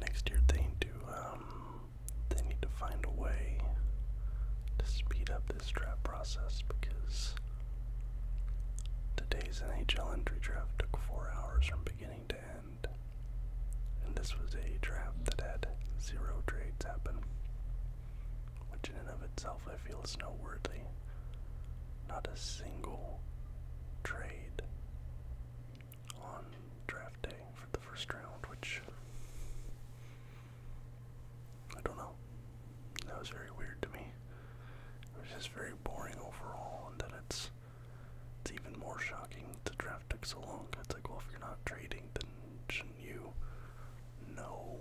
Next year um, they need to find a way to speed up this draft process because today's NHL entry draft took four hours from beginning to end, and this was a draft that had zero trades happen, which in and of itself I feel is noteworthy. Not a single trade made on draft day for the first round, which I don't know. That was very weird to me. It was just very boring overall, and then it's it's even more shocking to draft so long. It's like, well, if you're not trading, then you know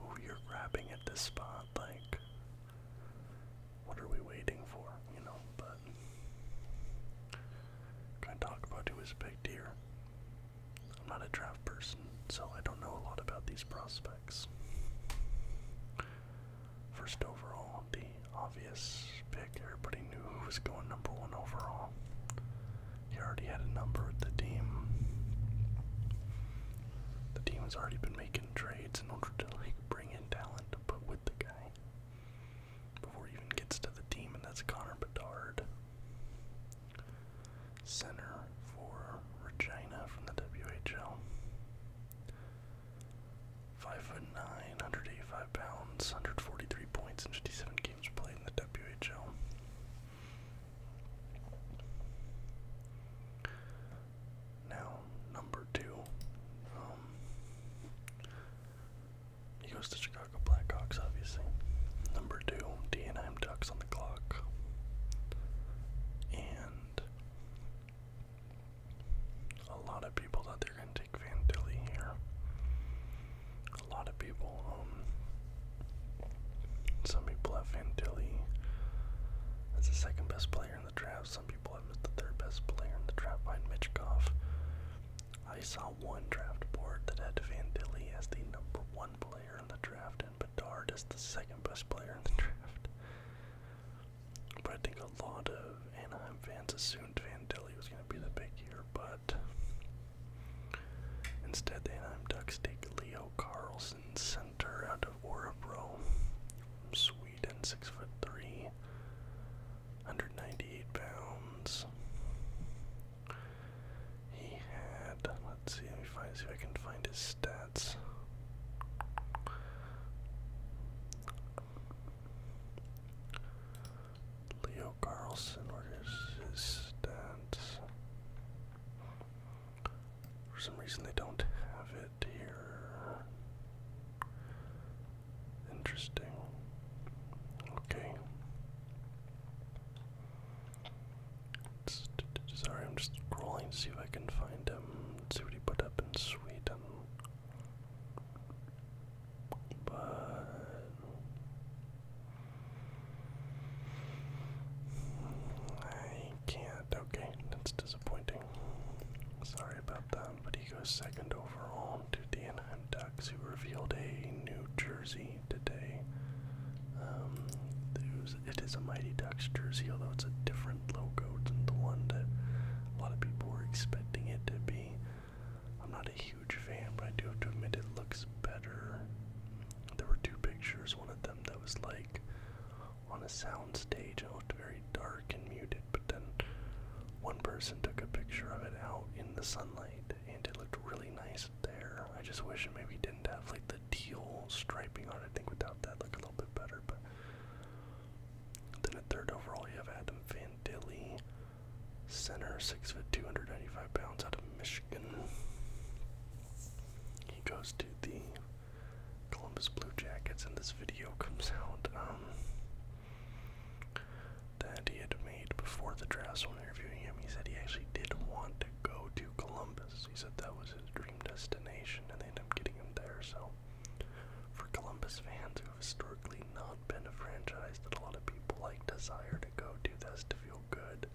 who you're grabbing at this spot? Like, what are we waiting for, you know? But can I talk about who was a big here? I'm not a draft person, so I don't know a lot about these prospects. First overall, the obvious pick. Everybody knew who was going number one overall. He already had a number at the team. The team has already been making trades in order to like bring in talent to with the guy before he even gets to the team, and that's Connor Bedard, center for Regina from the WHL. Five foot nine, 185 pounds, 143 points in 57 games played in the WHL. Now, number two. Um, he goes to Chicago Blackhawks, obviously. Number two, D&M Ducks on the clock. And a lot of people thought they are going to take Van Dilly here. A lot of people, um, some people have Van Dilly as the second best player the draft. Some people have missed the third best player in the draft behind Mitch I saw one draft board that had Van as the number one player in the draft and Bedard as the second best player in the draft. But I think a lot of Anaheim fans assumed Van was going to be the big year, but instead the Anaheim Ducks take Leo Carlson, center out of Orebro from Whedon, six foot three, 198 pounds. He had, let's see, let me find, see if I can find his stats. Leo Carlson, where is his stats? For some reason they don't have it here. Interesting. Okay. sorry, I'm just scrolling to see if I can find him. see what he put up in Sweden. But I can't. Okay, that's disappointing. Sorry about that, but he goes second overall to the Anaheim Ducks, who revealed a new jersey today. Um, it is a Mighty Ducks jersey, although it's a different logo than the one that a lot of people were expecting it to be. I'm not a huge fan, but I do have to admit it looks better. There were two pictures, one of them that was like on a sound stage it looked very dark and muted, but then one person took a picture of it out in the sunlight and it looked really nice there. I just wish it maybe didn't have like the teal striping on I think without that look a little bit better, but then at third overall you have Adam Van center, six foot two hundred ninety five pounds out of Michigan. He goes to the Columbus Blue Jackets and this video comes out um, that he had made before the draft. when interviewing him, he said he actually did want to go to Columbus. He said that was his dream destination, and they ended up getting him there. So for Columbus fans who have historically not been a franchise that a lot of people like desire to go to, that's to feel good.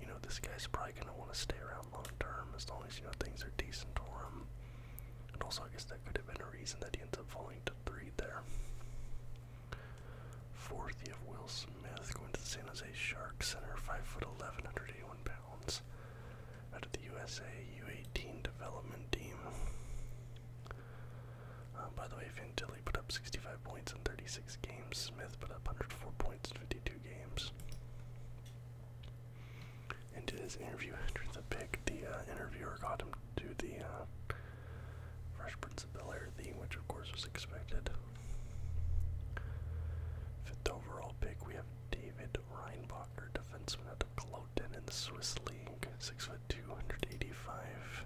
You know, this guy's probably gonna want to stay around long term as long as you know things are decent for him. And also, I guess that could have been a reason that he ends up falling to three there. Fourth, you have Will Smith going to the San Jose Shark Center, 5'11", 181 pounds, out of the USA U18 development team. Uh, by the way, Fantilli put up 65 points in 36 games. Smith put up 104 points in 52 games and did his interview after the pick. The uh, interviewer got him to the uh, Fresh Prince of Bel Air theme, which of course was expected. Fifth overall pick, we have David Reinbacher, defenseman at of Kloten in the Swiss League, six foot two hundred eighty-five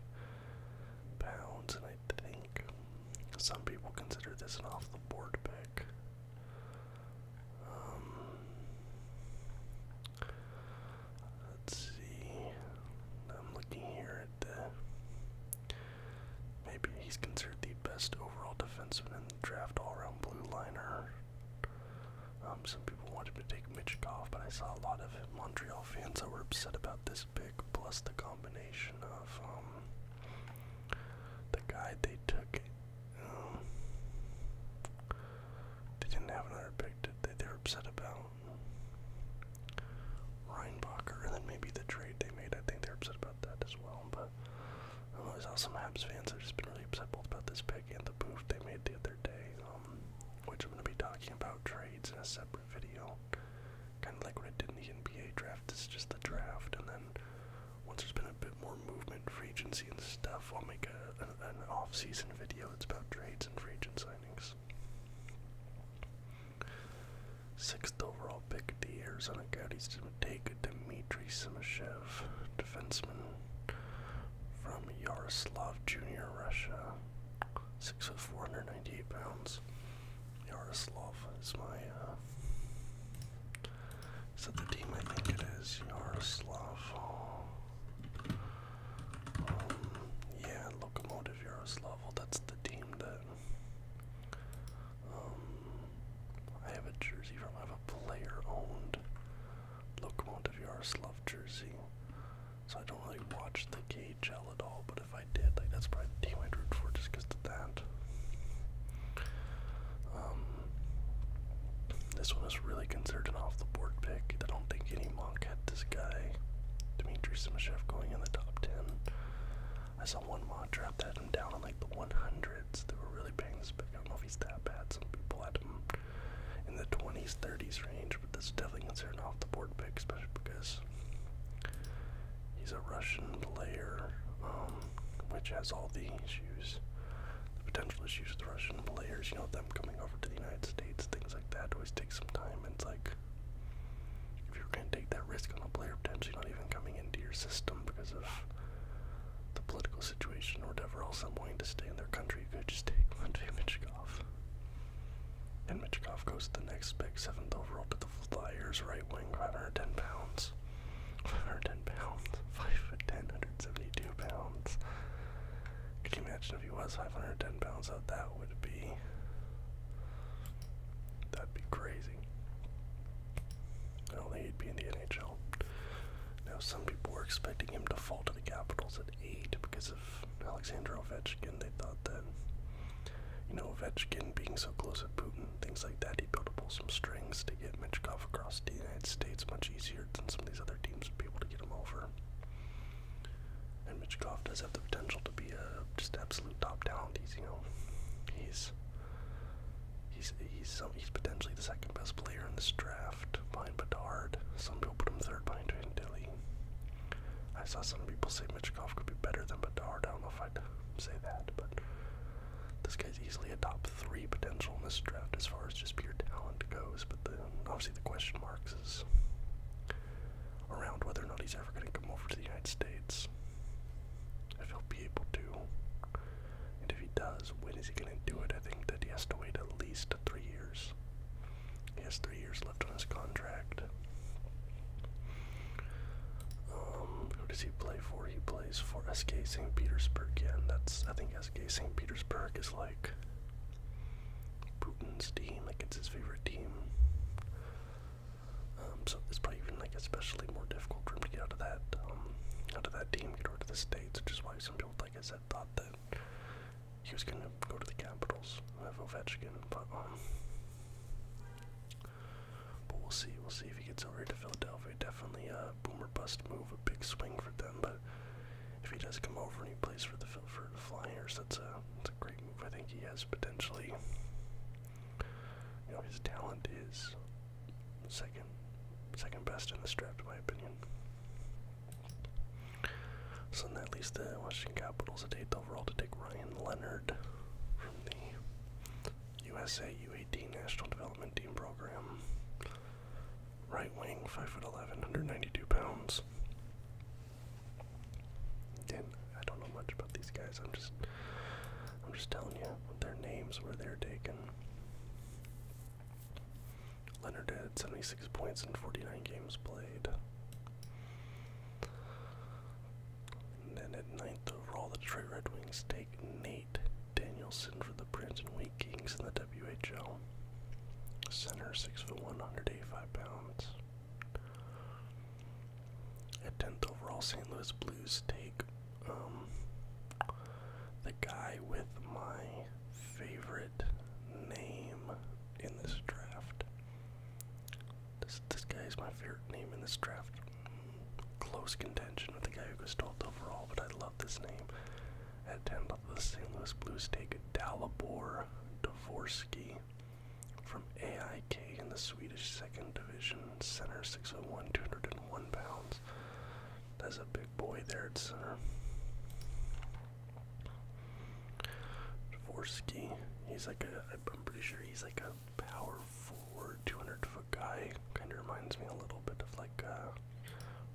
pounds, and I think some people consider this an off-the-board pick. Um, let's see. I'm looking here at the. Maybe he's considered the best overall defenseman in the draft, all-around blue liner. Um, some people wanted to take Mitchkov, but I saw a lot of Montreal fans that were upset about this pick. Plus the combination of um, the guy they took they didn't have another pick that they, they upset about. Reinbacher, and then maybe the trade they made. I think they're upset about that as well. But I know always also some Habs fans have just been really upset both about this pick and the move they made the other day, um, which I'm going to be talking about trades in a separate video. Kind of like what I did in the NBA draft. This is just the draft, and then once there's been a bit more movement, free agency and stuff, I'll make a, an, off-season video It's about trades and free agent signings. Sixth overall pick, the Arizona Coyotes to take Dmitry Simashev, defenseman from Yaroslav Junior, Russia. Six foot four hundred ninety-eight pounds. Yaroslav is my uh, is that the team? I think it is. Yaroslavl. Um, yeah, Lokomotive Yaroslavl. That's the team that. Um, I have a jersey from. I have a player owned Lokomotive Yaroslavl jersey. So I don't really watch the KHL at all, but if I did, like that's probably the team I'd root for just because of that. Um, this one is really considered an off the board pick. I don't think any monk had this guy, Dmitry Simashev, going in the top 10. I saw one mock draft that had him down in like the 100s. They were really banging this pick. I don't know if he's that bad. Some people had him in the 20s, 30s range, but that's definitely considered an off the board pick, especially because he's a Russian player, um, which has all the issues potential issues with Russian players, you know, them coming over to the United States, things like that always takes some time. it's like, if you're going to take that risk on a player potentially not even coming into your system because of the political situation or whatever else, I'm willing to stay in their country, you could just take Andrei Michkov. And Michkov goes to the next pick, 7th overall to the Flyers, right wing, 510 pounds. 510 pounds. 5 foot 10, 172 pounds. Could you imagine if he was 510 pounds? How that would be. That'd be crazy. I don't think he'd be in the NHL. Now, some people were expecting him to fall to the Capitals at 8 because of Alexander Ovechkin. They thought that, you know, Ovechkin being so close to Putin, things like that, he'd build up some str strings to get Mitchkov across the United States much easier than some of these other teams would be able to get him over. And Mitchkov does have the potential to be a just absolute top talent. He's you know he's he's he's some, he's potentially the second best player in this draft behind Bedard. Some people put him third behind Dilly. I saw some people say Mitchkov could be better than Bedard. I don't know if I'd say that, but this guy's easily a top three potential in this draft as far as just pure talent goes, but obviously the question marks is around whether or not he's ever going to come over to the United States. If he'll be able to, and if he does, when is he going to do it? I think that he has to wait at least three years. He has three years left on his contract. Um, who does he play for? He plays for SK St. Petersburg. Yeah, that's I think SK St. Petersburg is like Putin's team, like it's his favorite team. Um, so it's probably even like especially more difficult for him to get out of that, um, out of that team, get over to the states, which is why some people, like I said, thought that he was gonna go to the Capitals have Ovechkin, but um, but we'll see, we'll see if he gets over to Philadelphia. Definitely, uh, uh, boomer bust move, a big swing for them. But if he does come over any place for the for the Flyers, that's a that's a great move. I think he has potentially. You know, his talent is second, second best in the draft, in my opinion. So then that leaves the Washington Capitals at eighth overall to take Ryan Leonard from the USA U18 National Development Team program. Right wing, 5'11, 192 pounds. And I don't know much about these guys. I'm just I'm just telling you their names where they're taken. Leonard had 76 points in 49 games played. then at ninth overall, the Detroit Red Wings take like Nate Danielson for the Prince and Wheat Kings in the WHL. Center, 6'1", 185 pounds. At 10th overall, St. Louis Blues take um, the guy with my favorite name in this draft. This, guy is my favorite name in this draft. Close contention with the guy who was 12th overall, but I love this name. At 10, the St. Louis Blues take Dalibor Dvorsky from AIK in the Swedish Second Division, center 601, 201 pounds. That's a big boy there at center. Dvorsky, he's like a, I'm pretty sure he's like a power forward, 200 guy. Kind of reminds me a little bit of like uh,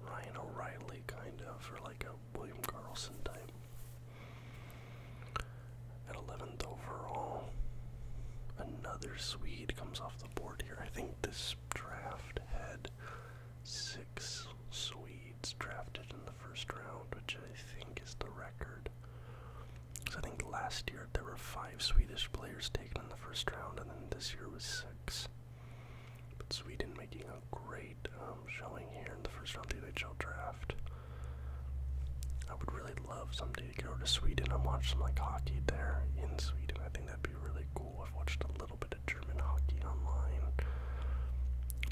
Ryan O'Reilly, kind of, or like a William Carlson type. At 11th overall, another Swede comes off the board here. I think this draft had six Swedes drafted in the first round, which I think is the record. So I think last year there were five Swedish players taken in the first round, and then this year was six. But Sweden making a great um, showing here in the first round of the NHL draft. I would really love someday to go to Sweden and watch some like hockey there in Sweden. I think that'd be really cool. I've watched a little bit of German hockey online,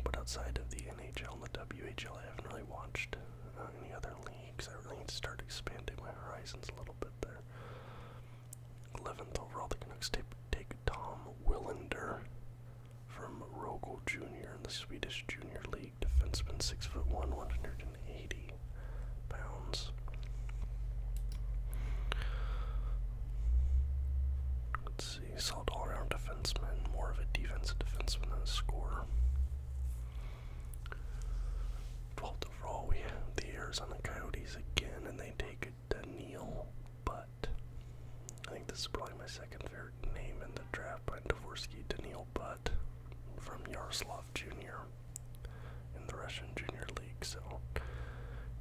but outside of the NHL and the WHL, I haven't really watched uh, any other leagues. I really need to start expanding my horizons a little bit there. 11th overall, the Canucks take, Tom Willander from Rogel Jr. in the Swedish Junior League. Defenseman, 6'1", 180 pounds. Let's see, solid all-around defenseman, more of a defensive defenseman than a scorer. 12 the roll. We the Arizona Coyotes again, and they take Daniil Butt. I think this is probably my second favorite name in the draft by Dvorsky, Daniil Butt from Yaroslav Jr. in the Russian Junior League. So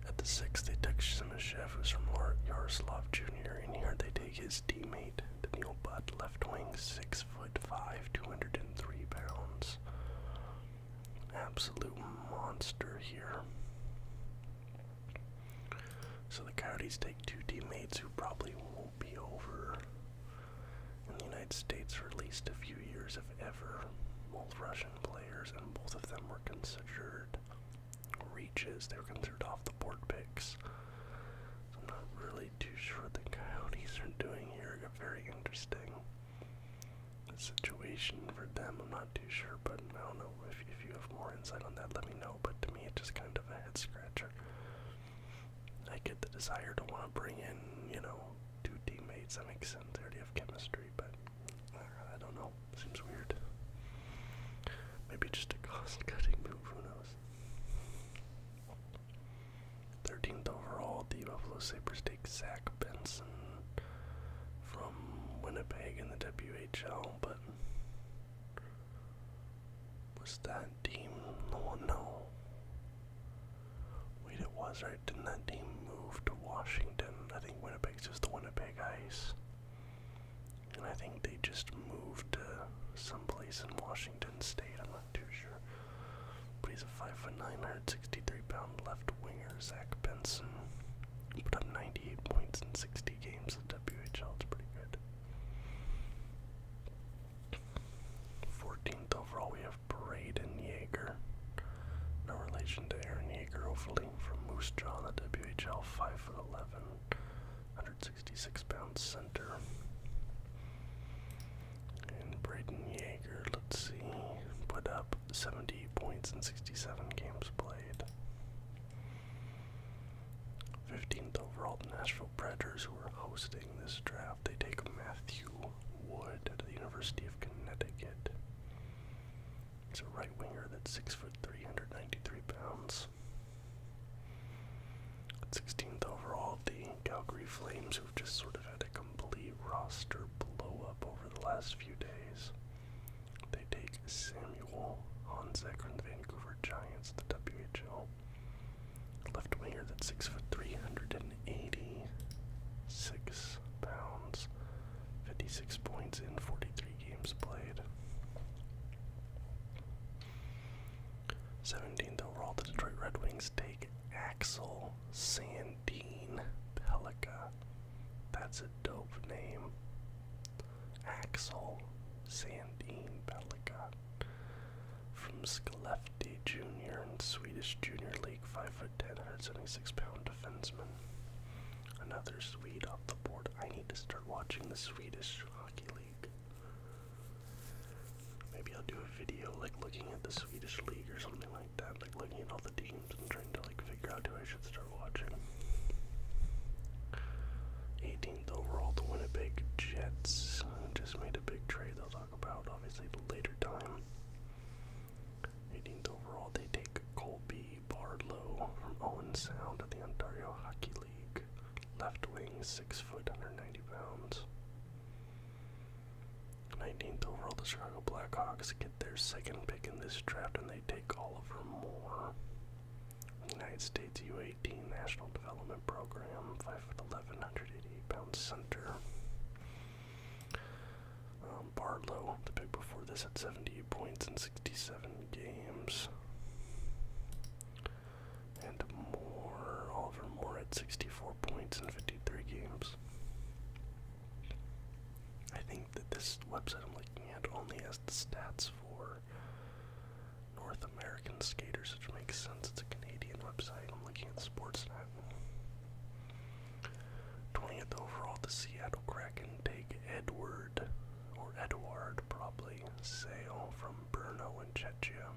at the sixth, they took Simishev, who's from Yaroslav Jr. And here they take his teammate, Daniil Butt, left wing, six foot five, 203 pounds. Absolute monster here. So the Coyotes take two teammates who probably won't be over in the United States for at least a few years, if ever. Both Russian players, and both of them were considered reaches. They were considered off the board picks. So I'm not really too sure what the Coyotes are doing here. Very interesting situation for them. I'm not too sure, but I don't know if, if you have more insight on that, let me know. But to me, it's just kind of a head scratcher. I get the desire to want to bring in, you know, two teammates. That make sense. They already have chemistry, but uh, I don't know. Seems weird. Maybe just a cost-cutting move. Who knows? 13th overall, the Buffalo Sabres take Zach Benson from Winnipeg in the WHL, but was that team the one? No. Wait, it was, right? Didn't that team move to Washington? I think Winnipeg's just the Winnipeg Ice. And I think they just moved to someplace in Washington State. I'm not too sure. But he's a 5'9", 163-pound left winger, Zach Benson. put up 98 points in 60 games at WHL. It's pretty good. 14th overall, we have Braden Jaeger. No relation to Aaron Jaeger, hopefully, from Moose Jaw in the WHL, 5'11", 166-pound center. And Braden Yeager, let's see, put up 70 points in 67 games played. 15th overall, the Nashville Predators, who are hosting this draft, they take Matthew Wood at the University of Connecticut. It's a right winger that's six foot three hundred ninety-three pounds. 16th overall, the Calgary Flames, who've just sort of had to go complete roster blow up over the last few days. They take Samuel Honzek from the Vancouver Giants, the WHL. Left winger that's six foot three hundred and eighty six pounds. Fifty six points in forty three games played. 17th overall, the Detroit Red Wings take Axel Sand Dean Pelica. That's a dope name. Axel Sandine Pelica. From Skellefteå Jr. in Swedish Junior League, five foot 5'10", 76 pounds defenseman. Another Swede off the board. I need to start watching the Swedish Hockey League. Maybe I'll do a video like looking at the Swedish League or something like like that, looking at all the teams and trying to like figure out who I should start watching. 18th overall, the Winnipeg Jets just made a big trade. They'll talk about obviously later time. 18th overall, they take Colby Bardlow from Owen Sound of the Ontario Hockey League. Left wing, six foot, under ninety pounds. 19th overall, the Chicago Blackhawks get their second pick in this draft, and they take Oliver Moore. United States U18 National Development Program, 5'11", eleven, hundred eighty eight pounds center. Um, Barlow, the pick before this, had 78 points in 67 games. And Moore, Oliver Moore, at 64 points in 53 games. I think that this website I'm looking at only has the stats for North American skaters, which makes sense. It's a Canadian website. I'm looking at Sportsnet. 20th overall, the Seattle Kraken take Edward, or Edward probably, Sale from Brno and Chechia.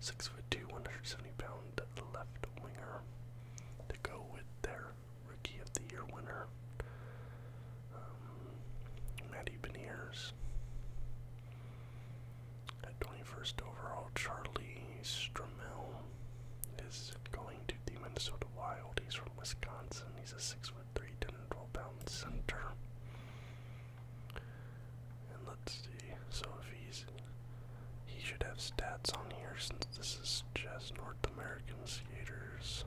Six foot two, 170 pound left winger to go with their Rookie of the Year winner, um, Matty Beniers. At 21st overall, Charlie Strommel is going to the Minnesota Wild. He's from Wisconsin. He's a 6'3", 10-12 pound center. And let's see, so if he's he should have stats on here since this is just North American skaters.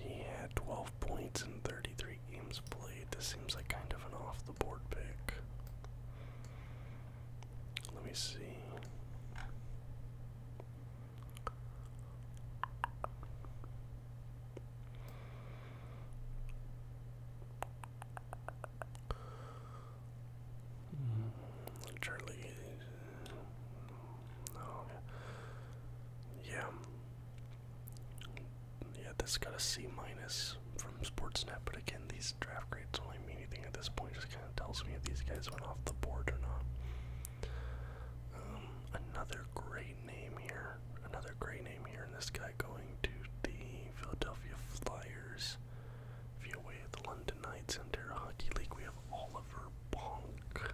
He had 12 points in 33 games played. This seems like kind of an off the board pick. Let me see. Charlie. Oh, yeah. Yeah, that's got a C minus from Sportsnet, but again, these draft grades don't mean anything at this point. Just kind of tells me if these guys went off the board or not. Um, another great name here. Another great name here, and this guy going to the Philadelphia Flyers via way of the London Knights and Terra Hockey League. We have Oliver Bonk,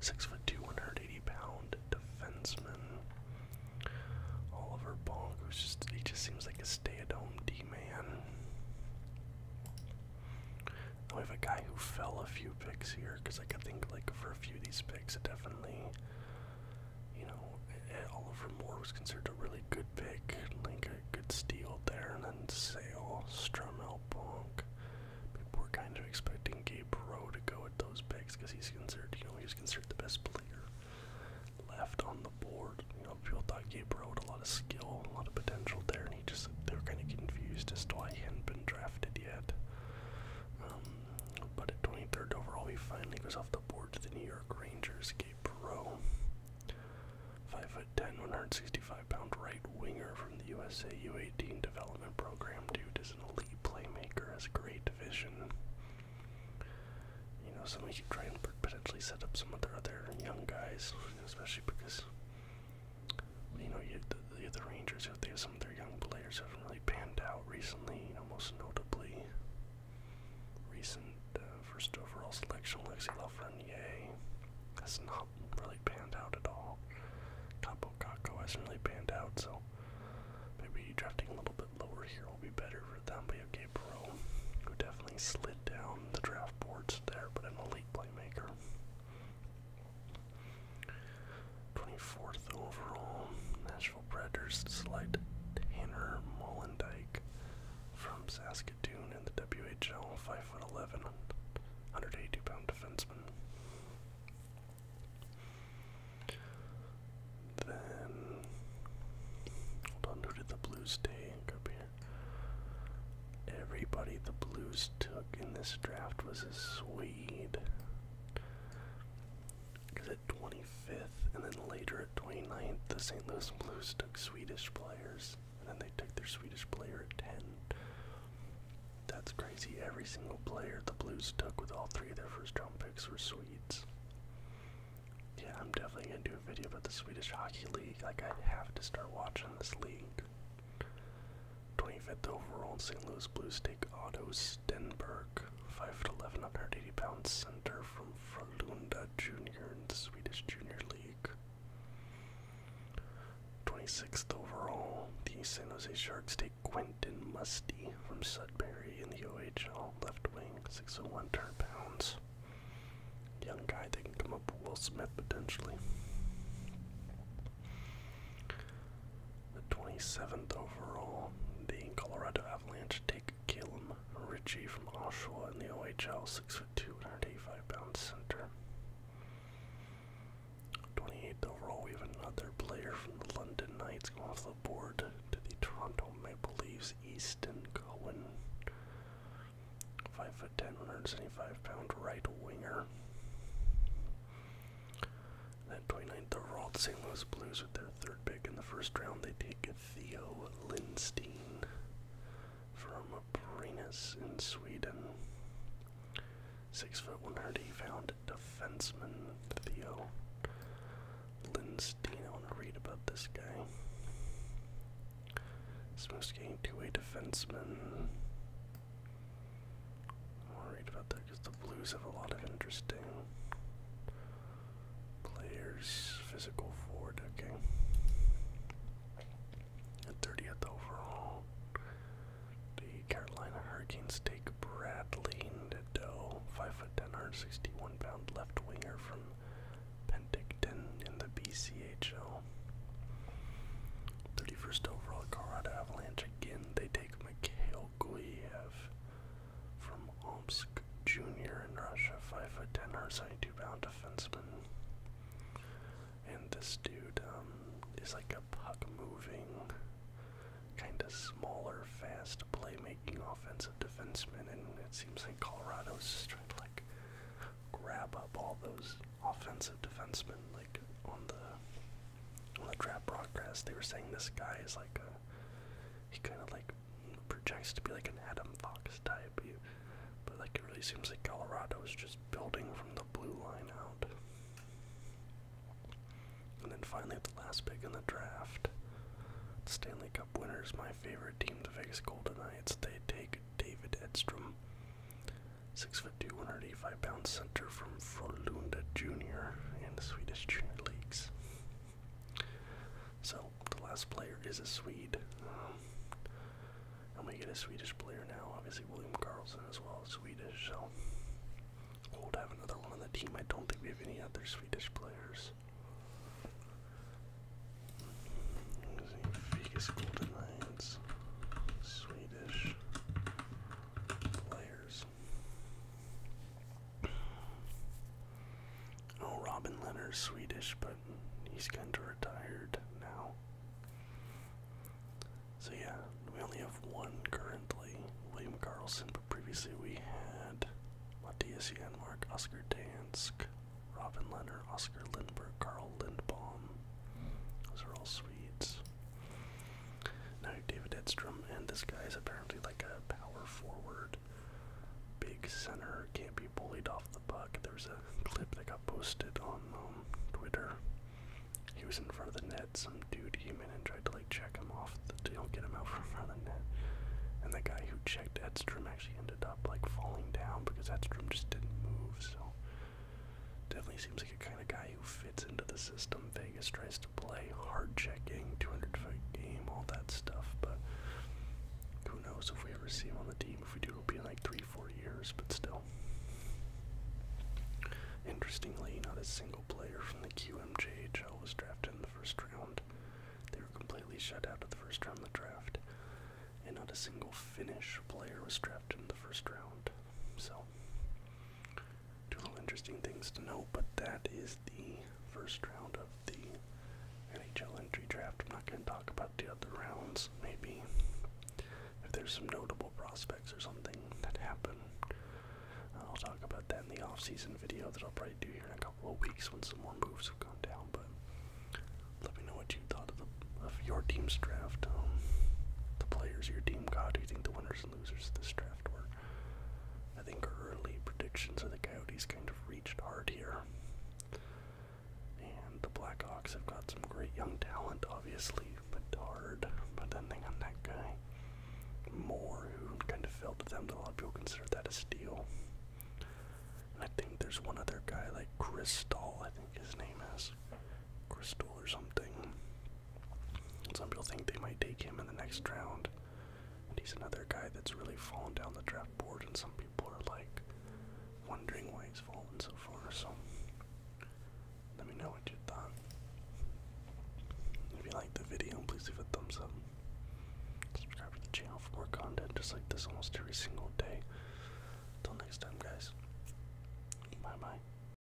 six foot two, 180 pound defenseman. Oliver Bonk, who's just he just seems like a stay-at-home D man. We have a guy who fell a few picks here because I could think like for a few of these picks. It definitely, you know, eh, Oliver Moore was considered a really good pick, like a good steal there. And then Sale, Strumel, Bonk. People were kind of expecting Gabe Rowe to go at those picks because he's considered, you know, he was considered the best player left on the board. You know, people thought Gabe Rowe had a lot of skill, a lot of potential there, and he just, they were kind of confused as to why he hadn't been drafted yet. Um, but at 23rd overall, he finally goes off the board to the New York Rangers, Gabe Perot. 5'10", 165-pound right winger from the USA U18 development program. Dude is an elite playmaker, has great vision. You know, so somebody could try and potentially set up some other other young guys, especially because, you know, you, the, the Rangers, if they have some some of their young players haven't really panned out recently, you know, most notably recent uh, first overall selection, Alexis Lafreniere has not really panned out at all. Capo Caco hasn't really panned out, so maybe drafting a little bit lower here will be better for them. But you have Gabriel, who definitely slid down the draft boards there, but an elite playmaker. 24th overall, Nashville Predators select Tanner Mullendike from Saskatoon in the WHL, 5'11", 182-pound defenseman. Then, hold on, who did the Blues take up here? Everybody the Blues took in this draft was a Swede. Because at 25th and then later at 29th, the St. Louis Blues took Swedish players, and then they took their Swedish player at 10. That's crazy. Every single player the Blues took with all three of their first round picks were Swedes. Yeah, I'm definitely gonna do a video about the Swedish Hockey League. Like, I have to start watching this league. 25th overall, St. Louis Blues take Otto Stenberg, 5'11", 180-pound center from Frölunda Junior in the Swedish Junior League. 26th overall, the San Jose Sharks take Quentin Musty from Sudbury in the OHL left wing, 601 pounds. Young guy that can come up with Will Smith potentially. The 27th overall, the Colorado Avalanche take Caleb Ritchie from Oshawa in the OHL, six 6'2", 185 pound center. 28th overall, we have another player from the London Knights going off the board to the Toronto Maple Leafs, Easton Cohen. 5'10", 175 pound right winger. That 29th, the Roth St. Louis Blues with their third pick in the first round. They take Theo Lindstein from Brynäs in Sweden. Six foot one hundred pound defenseman Theo Lindstein. I want to read about this guy. Smoking two-way defenseman worried about that because the Blues have a lot of interesting players. Physical forward, okay. At 30th overall, the Carolina Hurricanes take Bradley Nadeau, 5 foot 10, 161 pound left winger from Penticton in the BCHL. 31st overall, Colorado Avalanche again. They take take Mikhail Guyev from Omsk Junior in Russia, 5 foot 10 or 72 bound defenseman. And this dude um, is like a puck moving, kind of smaller, fast playmaking offensive defenseman. And it seems like Colorado's just trying to like grab up all those offensive defensemen like on the on the draft broadcast, they were saying this guy is like a, he kind of like projects to be like an Adam Fox type, but like it really seems like Colorado is just building from the blue line out. And then finally, the last pick in the draft, Stanley Cup winners, my favorite team, the Vegas Golden Knights, they take David Edstrom. Six foot two, 185 pound center from Frölunda Junior in the Swedish Junior Leagues. So the last player is a Swede. Um, and we get a Swedish player now. Obviously, William Carlson as well is Swedish. So we'll have another one on the team. I don't think we have any other Swedish players. Swedish players. Oh, Robin Leonard's Swedish, but he's kind of retired now. So yeah, we only have one currently, William Carlson, but previously we had Mattias Janmark, Oscar Dansk, Robin Leonard, Oscar Lindberg, Carl Lindbaum. Those are all Swedes. Now David Edstrom, and this guy is apparently like a power forward, big center, can't be bullied off the puck. There's a clip that got posted on um, Twitter. He was in front of the net. Some dude came in and tried to like check him off the deal, get him out from front of the net. And the guy who checked Edstrom actually ended up like falling down because Edstrom just didn't move. So Definitely seems like a kind of guy who fits into the system. Vegas tries to play hard checking, 200 foot game, all that stuff, but who knows if we ever see him on the team. If we do, it'll be in like three, four years, but still. Interestingly, not a single player from the QMJHL was drafted in the first round. They were completely shut out of the first round of the draft, and not a single Finnish player was drafted in the first round. So, Two little interesting things to note, but that is the first round of the NHL entry draft. I'm not going to talk about the other rounds. Maybe if there's some notable prospects or something that happen, I'll talk about that in the off-season video that I'll probably do here in a couple of weeks when some more moves have gone down. But let me know what you thought of the of your team's draft. Um, the players your team got. Do you think the winners losers this draft were. I think early predictions of the Coyotes kind of reached hard here. And the Blackhawks have got some great young talent, obviously, but hard. but then they got that guy Moore, who kind of fell to them. A lot of people consider that a steal. And I think there's one other guy, like Chris I think his name is, Crystal or something. Some people think they might take him in the next round. And he's another guy that's really fallen down the draft board, and some people are like wondering why he's fallen so far. So let me know what you thought. If you liked the video, please leave a thumbs up. Subscribe to the channel for more content just like this almost every single day. Till next time, guys. Bye bye.